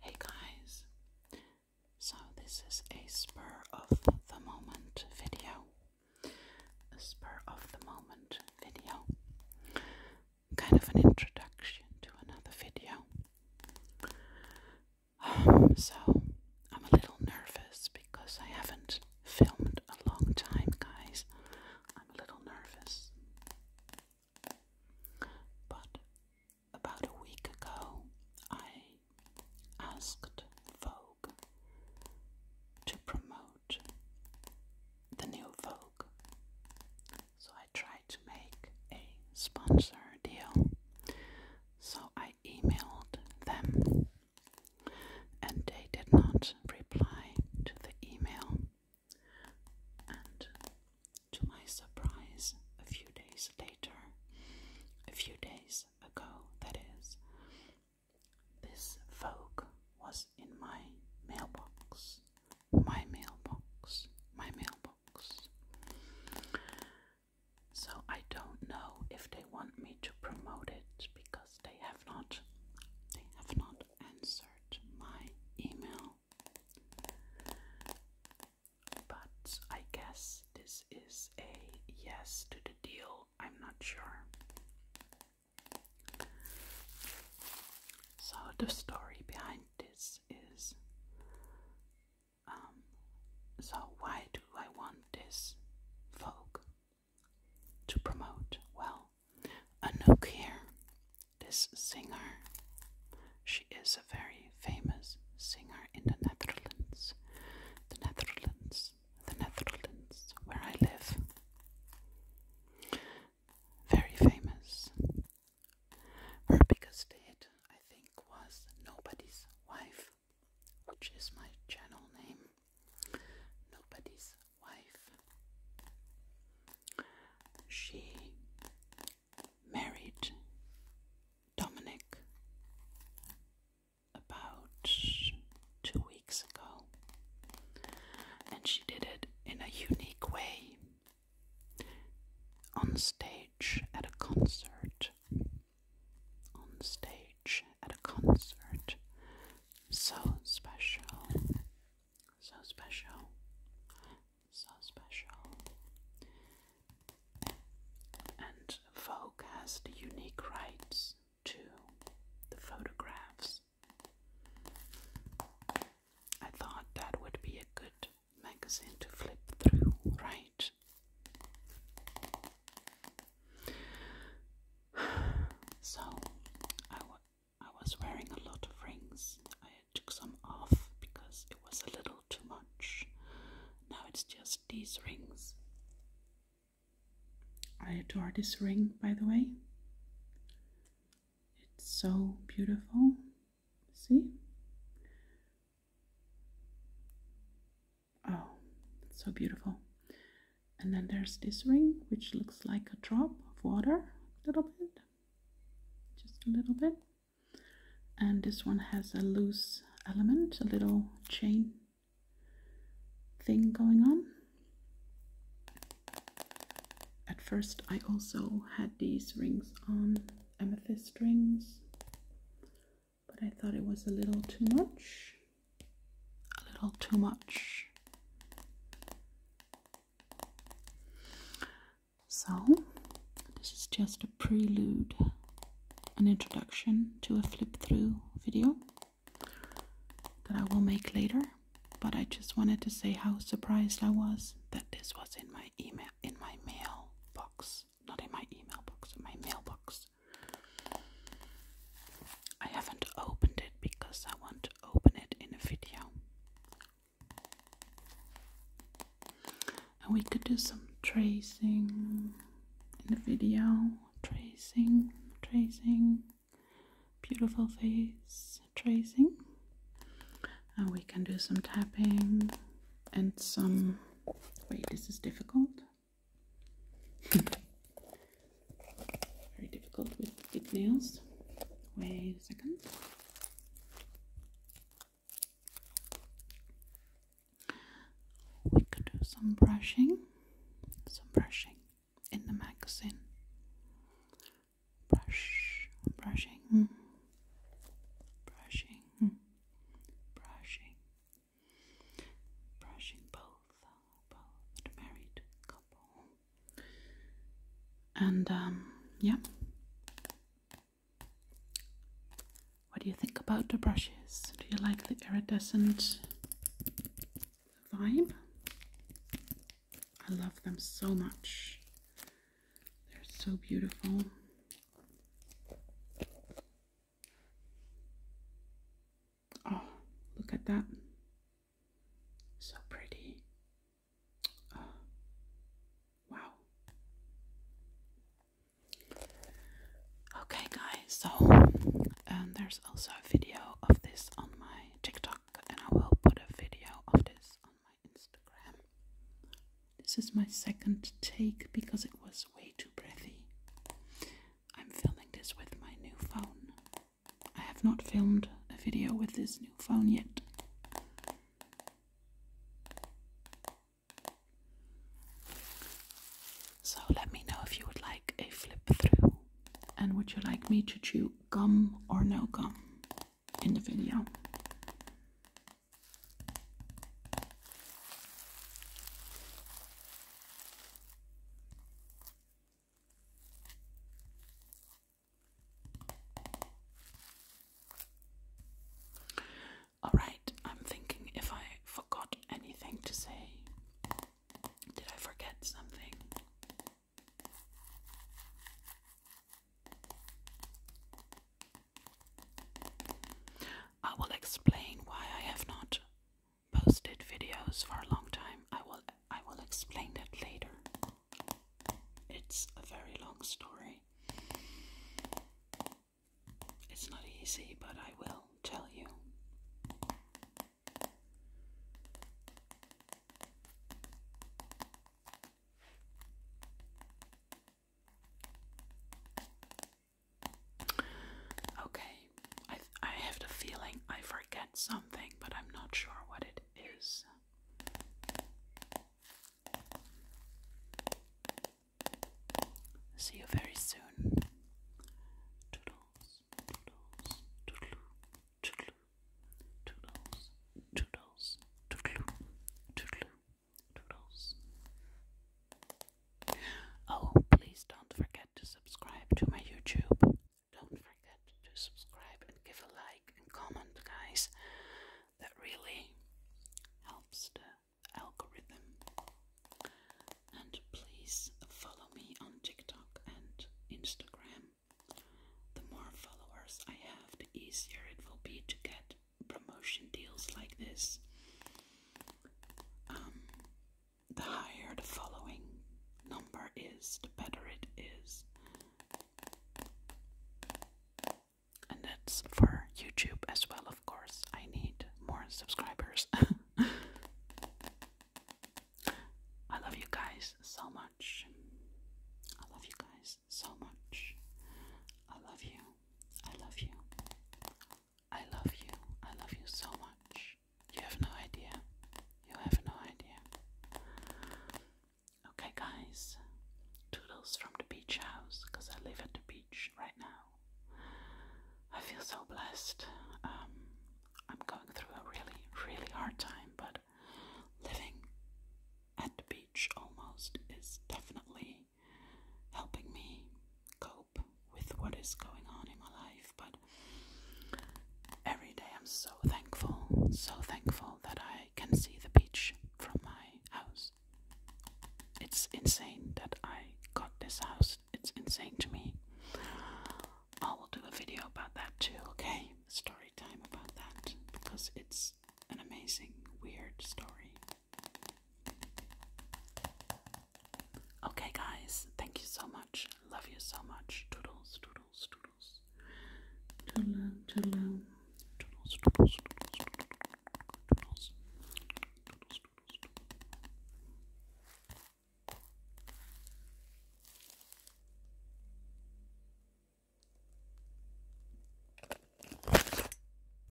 Hey guys, so this is a spur of the moment video. A spur of the moment video. Kind of an introduction to another video. Um, so I'm a little nervous because I haven't filmed a long time, guys. I'm a little nervous. But about a week ago, I asked Vogue to promote the new Vogue. So I tried to make a sponsor deal. So I emailed them, and they did not reply to the email. And to my surprise, a few days later, a few days ago, that is, this Vogue was in my mailbox. My mailbox. My mailbox. So I don't know if they want me to promote it because they have not they have not answered my email. But I guess this is a yes to the deal. I'm not sure. So, the story behind this is um, so, why do I want this Vogue to promote? Well, Anouk here, this singer, she is a very famous singer in the Netherlands. The Netherlands, the Netherlands, where I live. Very famous. Her biggest hit, I think, was Nobody's Wife, which is my channel name. Nobody's wife. She married Dominic about two weeks ago, and she did it in a unique way on stage at a concert. On stage at a concert, so special, so special. So special. And Vogue has the unique rights to the photographs. I thought that would be a good magazine to flip through, right? So I I was wearing a lot of rings. I took some off because it was a little too much. Now it's just these rings. I adore this ring, by the way. It's so beautiful. See? Oh, so beautiful. And then there's this ring, which looks like a drop of water, a little bit, just a little bit. And this one has a loose element, a little chain thing going on. At first, I also had these rings on, amethyst rings, but I thought it was a little too much a little too much. So, this is just a prelude, an introduction to a flip through video that I will make later. But I just wanted to say how surprised I was that this was in my email, in my mail box, not in my email box, in my mailbox. I haven't opened it because I want open it in a video. And we could do some tracing in the video. Tracing, tracing, beautiful face tracing. And we can do some tapping and some. Wait, this is difficult. Very difficult with thick nails. Wait a second. We could do some brushing, some brushing in the magazine. Brush, brushing, brushing, brushing, brushing both both married couple. And um, yeah. What do you think about the brushes? Do you like the iridescent vibe? I love them so much. They're so beautiful. Oh, look at that. So pretty. Oh, wow. Okay, guys, so and there's also a video of this on my TikTok, and I will put a video of this on my Instagram. This is my second take because it was way too breathy. I'm filming this with my new phone. I have not filmed a video with this new phone yet. So let me know if you would like a flip through and would you like me to chew gum or no gum in the video. Alright, I'm thinking if I forgot anything to say. Did I forget something? I will explain why I have not posted videos for a long time. I will I will explain that later. It's a very long story. It's not easy, but I will tell you. Okay, I, I have the feeling I forget something, but I'm not sure what it is. See you very soon. Toodles, toodles, toodle, toodle, toodles, toodles, toodles. Oh, please don't forget to subscribe to my YouTube. Don't forget to subscribe and give a like and comment, guys. That really helps the algorithm. And please follow me on TikTok and Instagram. The more followers I have, the easier it will be to get promotion deals like this. Um, the higher the following number is, the better it is. And that's for YouTube as well, of course. I need more subscribers. I love you guys so much. I love you guys so much. I love you. I love you. I love you. I love you so much. You have no idea. You have no idea. Okay, guys. Toodles from the beach house because I live at the beach right now. I feel so blessed. Um, I'm going through a really, really hard time, but living at the beach almost is definitely helping me cope with what is going on in my life, but every day I'm so thankful, so thankful that I can see the beach from my house. It's insane that I got this house, it's insane to me. I will do a video about that too, okay? Story time about that because it's an amazing, weird story. Okay, guys, thank you so much. Love you so much. Toodles, toodles, toodles. Toodle, toodle. Toodles, toodles, toodles, toodles. Toodles, toodles, toodles.